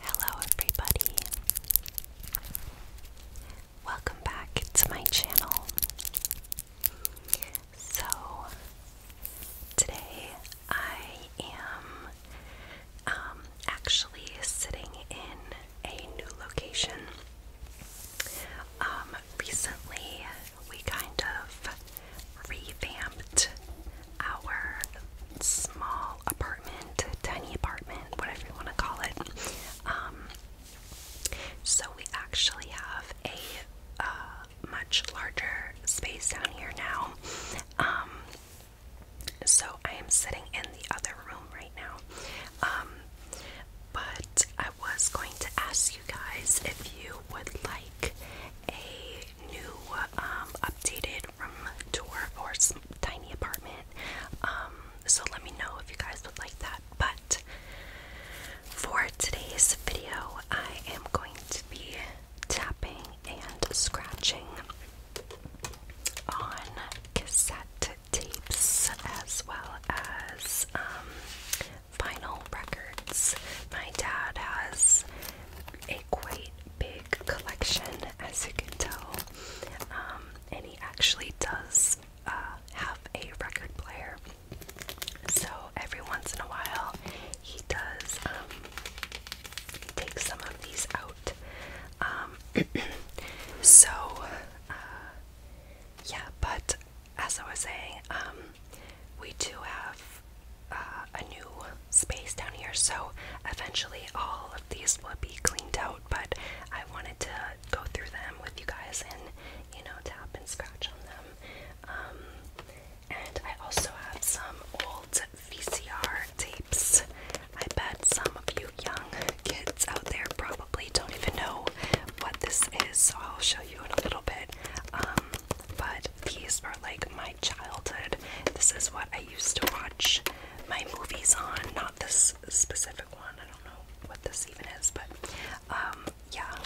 Hello, everybody. Welcome back to my channel. So, Today I am um, actually sitting in a new location. Um, recently, we kind of revamped our small apartment, tiny apartment, whatever you want to call it. Um, so we actually have a uh, much larger space down here now. Um, so I am sitting in the other room right now. Um, but I was going to ask you guys if you would like a new, um, updated room tour or some tiny apartment. so let me know if you guys would like that. But for today's video, I am going to be tapping and scratching on cassette tapes as well as um, vinyl records. My dad has a quite big collection, as you can tell, um, and he actually does uh, have a record player. So every once in a while, he does um, take some of these out. Um, so, uh, yeah, but as I was saying, um, we do have uh, a new space down here, so eventually all of these will be cleaned out, but I wanted to go through them with you guys and, you know, tap and scratch on them. And I also have some old VCR tapes. I bet some of you young kids out there probably don't even know what this is, so I'll show you in a little bit. Um, but these are like my childhood. This is what I used to watch my movies on, not this specific one. I don't know what this even is, but um, yeah,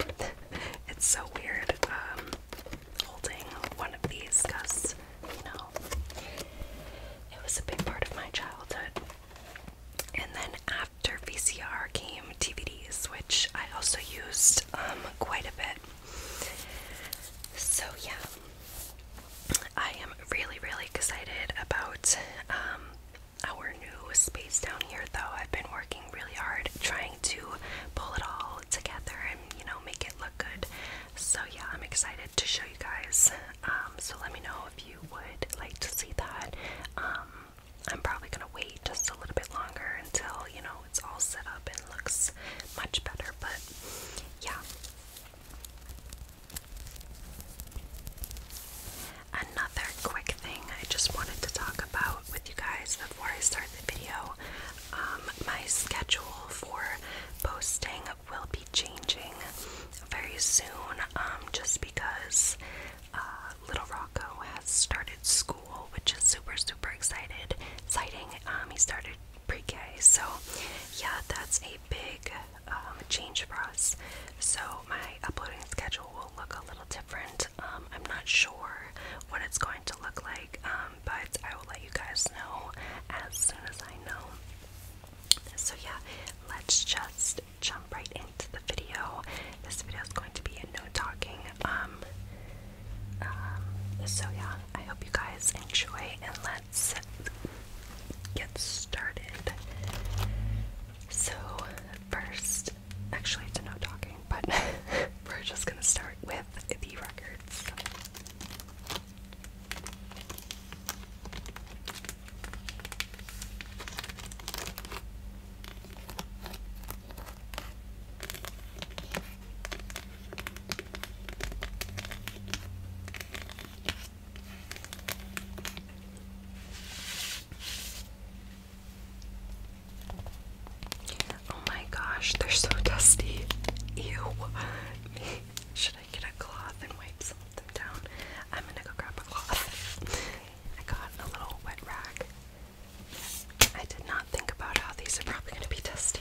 it's so weird. Um, holding one of these because, you know, it was a big part of my childhood. And then after VCR came DVDs, which I also used um, quite a bit. So, yeah, I am really, really excited about um, our new space down here, though. I've been working really hard trying to pull it all together you know make it look good. So yeah, I'm excited to show you guys. Um, so let me know if you would like to see that. Um, I'm probably gonna wait just a little bit longer until you know it's all set up and looks much better. But yeah. Another quick thing I just wanted to talk about with you guys before I start the video um, my schedule for posting will be changing very soon um, just because uh, Little Rocco has started school, which is super, super excited, exciting. Um, he started pre-K, so yeah, that's a big change for us. So my uploading schedule will look a little different. I'm not sure what it's going to look like but I will let you guys know as soon as I know. So, yeah, let's just jump right into the video. This video is going to be a no talking. Um, um, so, yeah, I hope you guys enjoy and let's get started. So, first, actually, it's a no talking, but we're just gonna start with the records. Oh my gosh, they're so dusty. Ew. Should I get a cloth and wipe some of them down? I'm gonna go grab a cloth. I got a little wet rag. I did not think about how these are probably gonna be dusty.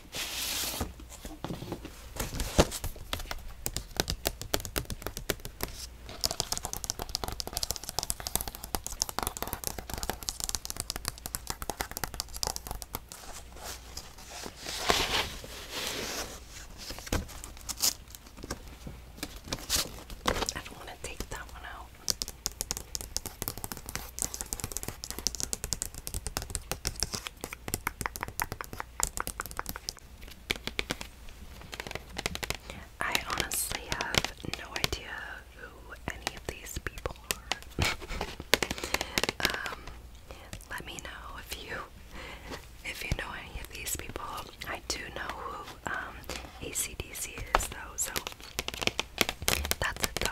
I don't want to take that one out. I honestly have no idea who any of these people are. Um, let me know if you if you know any of these people. I do know who um, ACDC is though, so that's it though.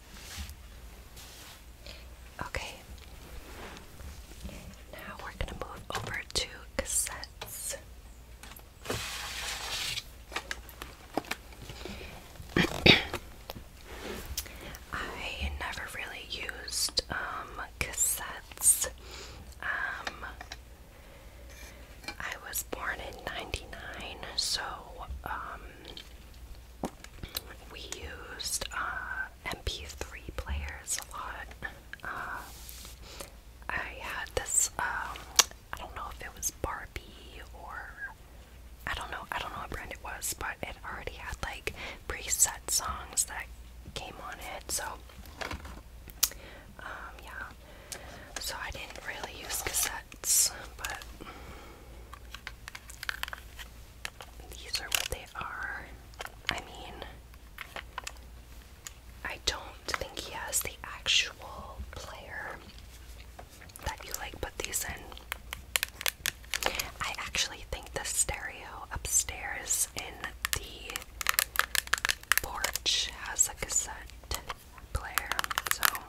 Okay. Now we're going to move over to cassettes. I never really used um, cassettes. Um, I was born in 99, so um, we used uh, MP3 players a lot. Uh, I had this, um, I don't know if it was Barbie or I don't know, I don't know what brand it was, but it already had like preset songs that came on it, so um, yeah. So I didn't really use cassettes, but these are what they are. I mean, I don't think he has the actual player that you like put these in. I actually think the stereo upstairs in the porch has a cassette player, so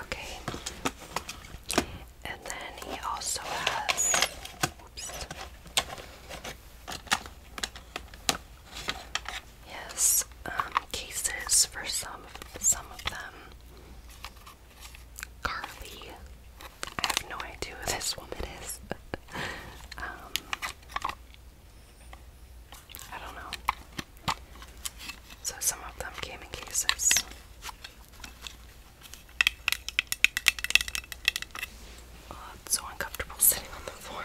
Okay. And then he also has Yes, um, cases for some of some of them. Carly, I have no idea who this woman is. um, I don't know. So some of them came in cases so uncomfortable sitting on the floor.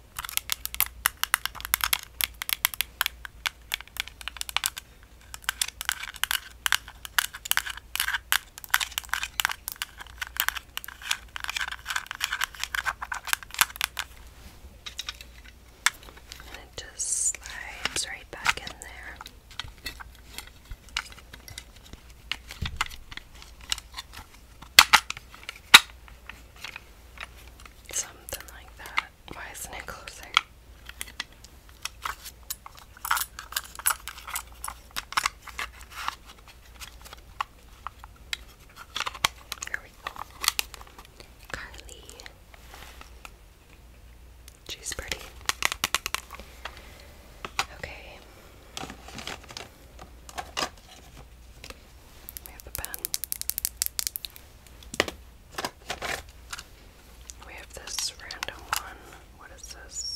And it just slides right back in there. Something like that. Why isn't it closer? Here we go. Carly. She's pretty. Okay. We have a pen. We have this random one. What is this?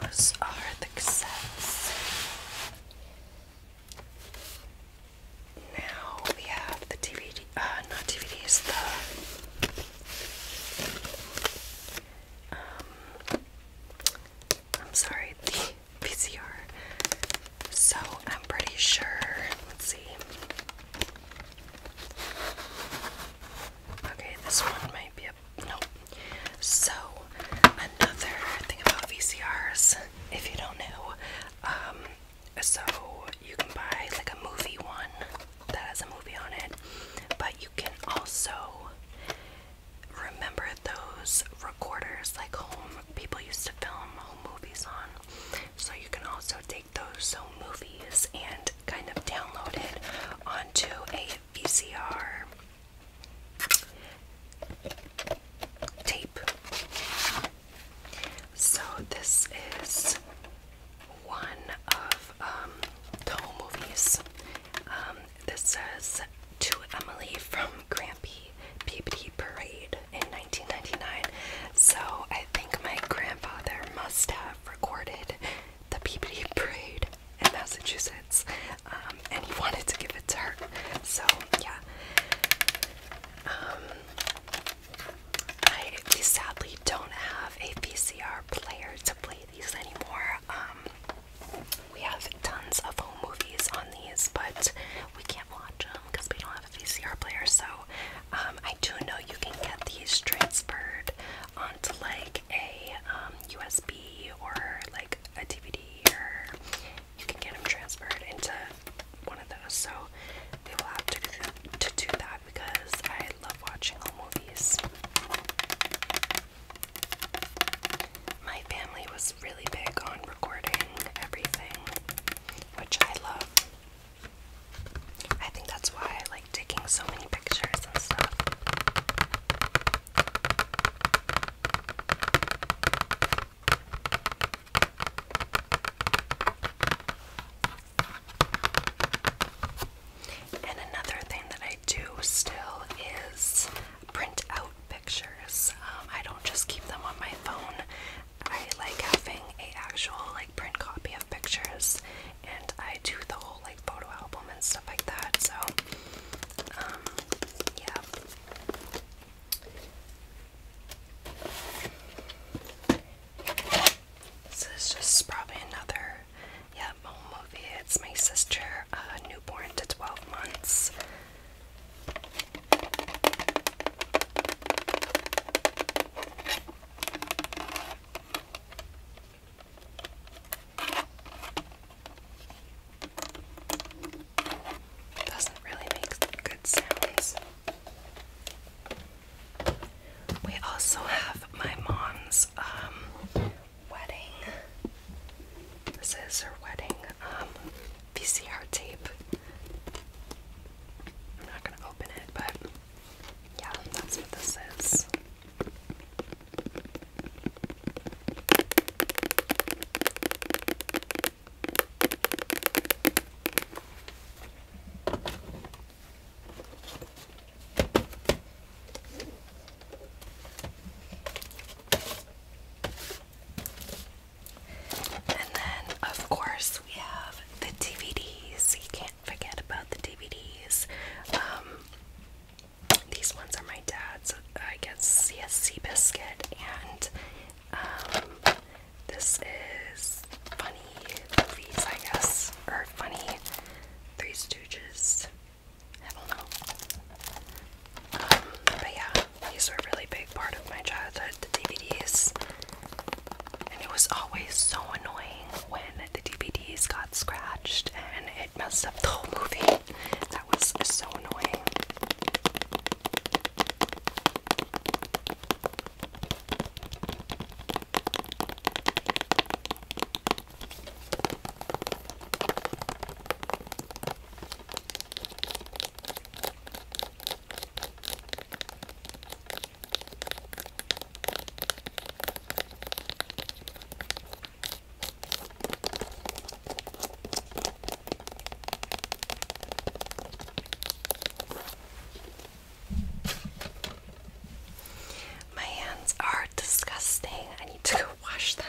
Those are the cassettes. Now we have the DVD, uh, not DVDs, the. Um, I'm sorry, the VCR. So I'm pretty sure. Let's see. Okay, this one might be a no. So another thing about VCRs, if you don't know, um, so you can buy like a movie one that has a movie on it, but you can also remember those recorders like home people used to film home movies on. So you can also take those home movies and kind of download it onto a VCR tape. So this is one of um, the home movies. Um, this says to Emily from Grampy Peabody Parade in 1999. So I think my grandfather must have recorded the Peabody Parade in Massachusetts, um, and he wanted to give it to her. So yeah, um, I we sadly don't have a VCR player to play these anymore. Um, we have tons of home movies on these, but we can't watch them because we don't have a VCR player. So um, I do know you can get these transferred onto like a USB um, or like a DVD, or you can get them transferred into one of those. So we will have to to do that because I love watching old movies. My family was really big on recording everything, which I love. I think that's why I like taking so many pictures and stuff. And another thing that I do still is print out pictures. Um, I don't just keep them on my phone. I like having a actual like print copy of pictures, and I do the whole like photo album and stuff like that. So, um, yeah. this is just probably another, yeah, home movie. It's my sister, uh, newborn to 12 months. Doesn't really make good sounds. We also have my mom's um, wedding. This is her wedding um, VCR tape. I'm not gonna open it, but yeah, that's what this is. And then, of course, we have the DVDs. You can't forget about the DVDs. Um, these ones are my dad's. Uh, I guess C.S.C. Biscuit, and um, this is funny movies, I guess, or funny Three Stooges but yeah, these were a really big part of my childhood, the DVDs. And it was always so annoying when the DVDs got scratched and it messed up the whole movie. That was so annoying. My hands are disgusting. I need to go wash them.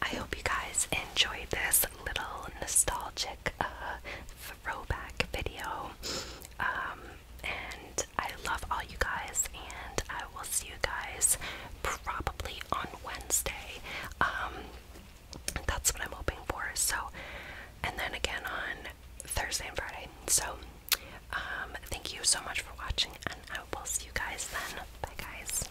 I hope you guys enjoyed this little nostalgic uh, throwback video. Um, and I love all you guys, and I will see you guys probably on Wednesday. Um, that's what I'm hoping for. So, and then again on Thursday and Friday. So, um, thank you so much for watching, and I will see you guys then. Bye, guys.